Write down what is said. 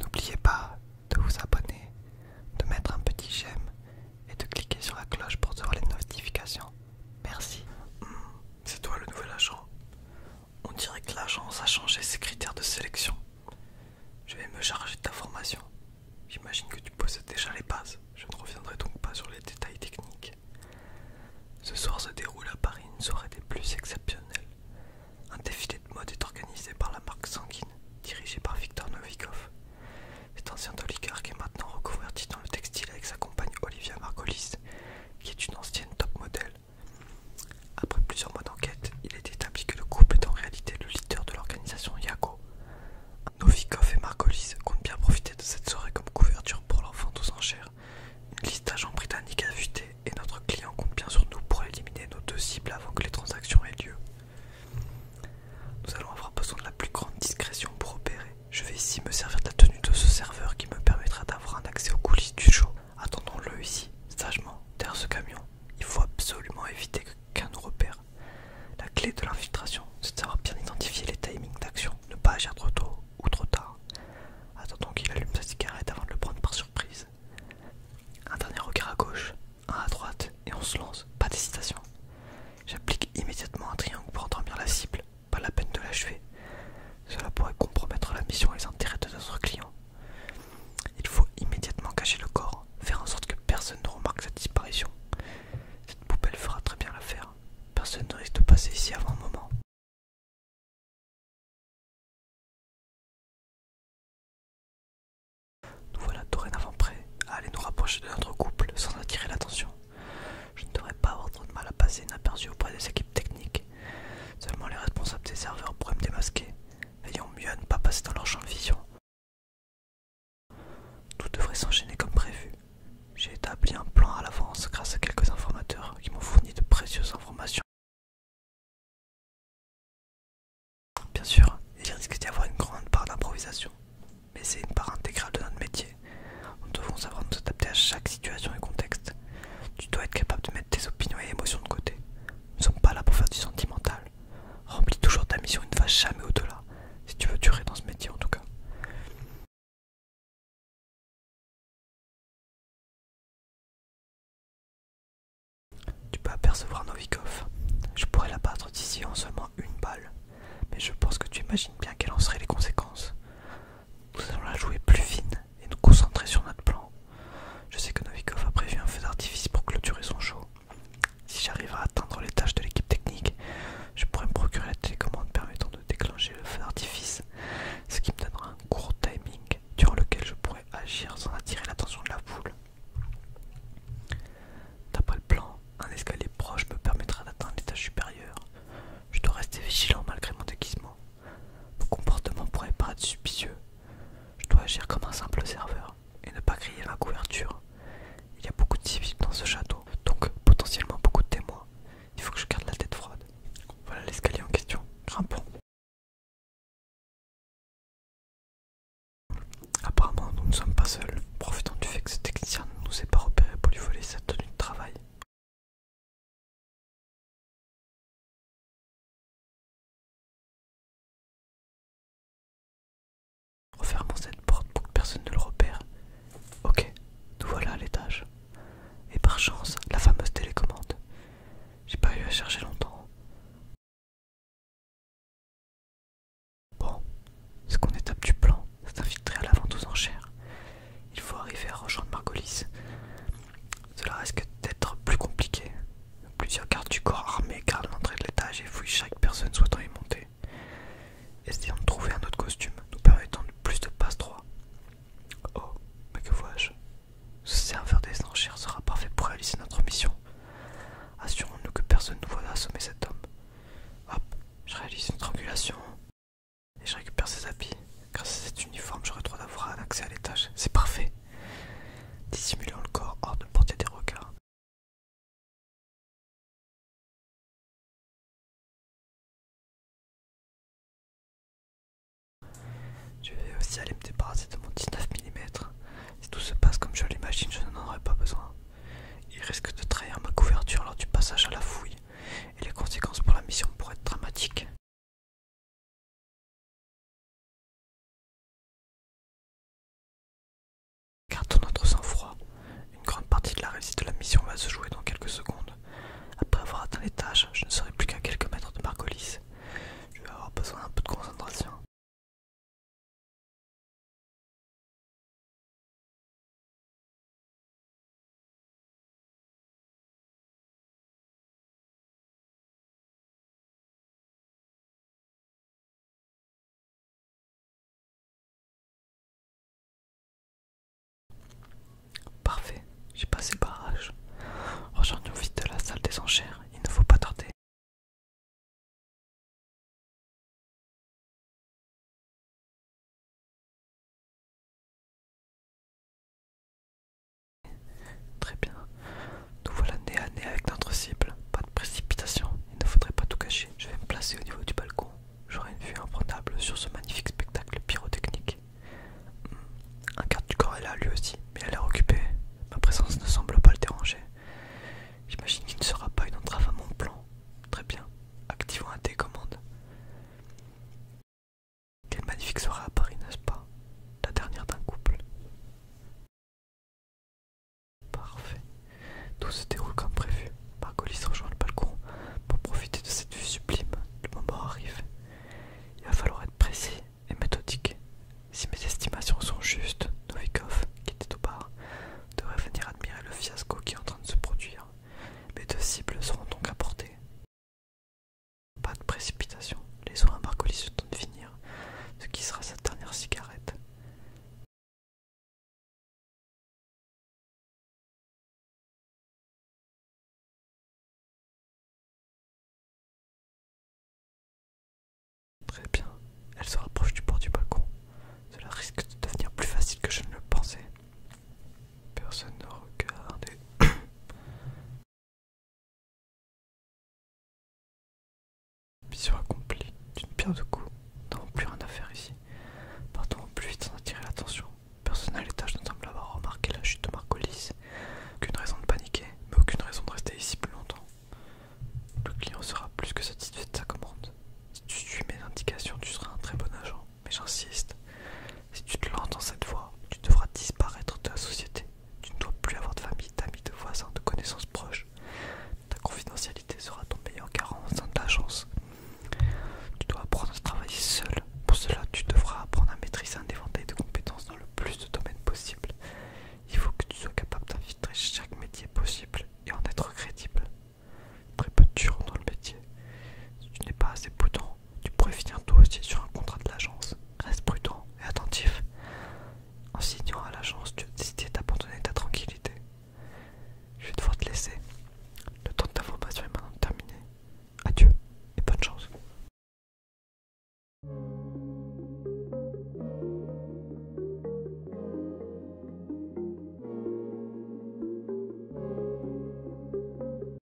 N'oubliez pas de vous abonner, de mettre un petit j'aime et de cliquer sur la cloche pour recevoir les notifications. Merci. Hmm, c'est toi le nouvel agent. On dirait que l'agence a changé ses critères de sélection. Je vais me charger de ta formation. J'imagine que tu possèdes déjà les bases. Je ne reviendrai donc pas sur les détails techniques. Ce soir se déroule à Paris une soirée des plus exceptionnelles. Un défilé de mode est organisé par la marque Sanguine, dirigée par Victor Novikov. Cet ancien oligarque est maintenant recouverti dans le textile avec sa compagne Olivia Margolis, qui est une ancienne top modèle. Après plusieurs mois d'enquête, il est établi que le couple est en réalité le leader de l'organisation Yago. Novikov et Margolis comptent bien profiter de cette soirée comme couverture pour leur tous en une liste d'agents britanniques fuité et notre client compte bien sur nous pour éliminer nos deux cibles avant que les transactions aient lieu. Nous allons avoir besoin de la plus grande discrétion pour opérer. Je vais ici me servir de la tenue de ce serveur qui me permettra d'avoir un accès aux coulisses du show. Attendons-le ici, sagement, derrière ce camion. Il faut absolument éviter qu'un nous repère. La clé de l'infiltration, c'est de bien identifier les timings d'action, ne pas agir trop tôt ou trop tard. Attendons qu'il allume sa cigarette avant de le prendre par surprise. Un dernier regard à gauche, un à droite, et on se lance, pas d'hésitation. J'applique immédiatement un triangle pour endormir la cible, pas la peine de l'achever. Cela pourrait compromettre la mission et les intérêts de notre client. Il faut immédiatement cacher le corps, faire en sorte que personne ne remarque sa disparition. Cette poubelle fera très bien l'affaire. Personne ne risque de passer ici avant un moment. Nous voilà dorénavant prêts à aller nous rapprocher de notre couple sans attirer l'attention. Je ne devrais pas avoir trop de mal à passer inaperçu auprès des équipes techniques. Seulement les responsables des serveurs pourraient me démasquer. Veillons mieux à ne pas passer dans leur champ de vision. Tout devrait s'enchaîner comme prévu. J'ai établi un plan à l'avance grâce à quelques informateurs qui m'ont fourni de précieuses informations. Bien sûr, il risque d'y avoir une grande part d'improvisation, mais c'est une part intégrale de notre métier. Nous devons savoir nous adapter à chaque situation et contexte. Tu dois être capable de mettre tes opinions et émotions de côté. Nous ne sommes pas là pour faire du sentimental. Remplis toujours ta mission et ne va jamais au-delà si tu veux durer dans ce métier en tout cas. Tu peux apercevoir Novikov. Je pourrais la battre d'ici en seulement une balle, mais je pense que tu imagines bien quelles en seraient les conséquences. Nous allons la jouer plus fine et nous concentrer sur notre plan. Je sais que Novikov a prévu un feu d'artifice pour clôturer son show. Si j'arrive à atteindre les tâches de l'équipe technique, je pourrais me procurer la télécommande permettant de déclencher le feu d'artifice, ce qui me donnera un court timing durant lequel je pourrais agir sans attirer l'attention de la foule. D'après le plan, un escalier proche me permettra d'atteindre l'étage supérieur. Je dois rester vigilant malgré mon déguisement. Mon comportement pourrait paraître suspicieux. Je dois agir comme un simple serveur et ne pas griller la couverture. Il y a beaucoup de civils dans ce château, donc potentiellement beaucoup de témoins. Il faut que je garde la tête froide. Voilà l'escalier en question. Grimpons. Apparemment, nous ne sommes pas seuls, profitant du fait que ce technicien ne nous ait pas repéré pour lui voler sa tenue de travail. Refermons cette porte pour que personne ne le repère. Ok, nous voilà à l'étage. Et par chance, la fameuse télécommande. J'ai pas eu à chercher longtemps. Bon, ce qu'on étape du plan, c'est infiltrer à l'avant aux enchères. Il faut arriver à rejoindre Margolis. Cela risque d'être plus compliqué, Plusieurs gardes du corps armés gardent l'entrée de l'étage et fouillent chaque personne souhaitant y monter. Essayons de trouver un autre costume, nous permettant de plus de passe droit. Oh, mais que vois-je Ce serveur des enchères sera parfait pour réaliser notre mission. Assurons-nous que personne ne voit assommer cet homme. Hop, je réalise une triangulation et je récupère ses habits. Grâce à cet uniforme, j'aurai droit d'avoir un accès à l'étage. C'est parfait. Dissimulons le corps hors de portée des regards. Je vais aussi aller me débarrasser de mon 19 mm. Si tout se passe comme je l'imagine, je n'en aurai pas besoin. Il risque de trahir ma couverture lors du passage à la fouille, et les conséquences pour la mission pourraient être dramatiques. Gardons notre sang-froid. Une grande partie de la réussite de la mission va se jouer dans quelques secondes. Après avoir atteint l'étage, je ne serai plus qu'à quelques mètres de Marcolis. Je vais avoir besoin d'un peu de concentration. Parfait, j'ai passé le barrage. Rejoignons vite la salle des enchères, il ne faut pas tarder. Très bien. Nous voilà nez à nez avec notre cible. Pas de précipitation. Il ne faudrait pas tout cacher. Je vais me placer au niveau du balcon. J'aurai une vue imprenable sur ce magnifique spectacle pyrotechnique. Hmm. Un quart du corps est là, lui aussi, mais elle a occupée. Ma présence ne semble pas le déranger. J'imagine qu'il ne sera pas une entrave à mon plan. Très bien. Activons un commandes. Quel magnifique sera à Paris, n'est-ce pas La dernière d'un couple. Parfait. Tout se déroule comme prévu. Margolis rejoint le balcon pour profiter de cette vue sublime. Le moment arrive. Il va falloir être précis et méthodique. Si mes estimations sont justes, Novikov, qui était au bar, devrait venir admirer le fiasco qui est en train de se produire. Mes deux cibles seront donc apportées. Pas de précipitation, les soins à Marcolis se de finir, ce qui sera sa dernière cigarette. Très bien, elle se rapproche du bord du balcon. Cela risque de devenir plus facile que je ne le pensais. Personne ne regarde. Mission accomplie, d'une pierre de coups, nous n'avons plus rien à faire ici. Partons plus vite sans attirer l'attention. Personne à l'étage ne semble avoir remarqué la chute de Marcolis. Aucune raison de paniquer, mais aucune raison de rester ici plus longtemps. Le client sera plus que satisfait de sa commande. Si tu suis mes indications, tu seras un très bon agent, mais j'insiste. Si tu te lances dans cette voie, tu devras disparaître de la société. Tu ne dois plus avoir de famille, d'amis, de voisins, de connaissances proches. Ta confidentialité sera ton meilleur garant En sein de Tu dois apprendre à travailler seul. Pour cela, tu devras apprendre à maîtriser un éventail de compétences dans le plus de domaines possibles. Il faut que tu sois capable d'infiltrer chaque métier possible et en être crédible. Très peu temps dans le métier. Si tu n'es pas assez poudrant. Tu pourrais finir toi aussi sur un contrat de l'agence. Reste prudent et attentif. En signant à l'agence, tu as décidé d'abandonner ta tranquillité. Je vais devoir te laisser. Le temps de ta formation est maintenant terminé. Adieu et bonne chance.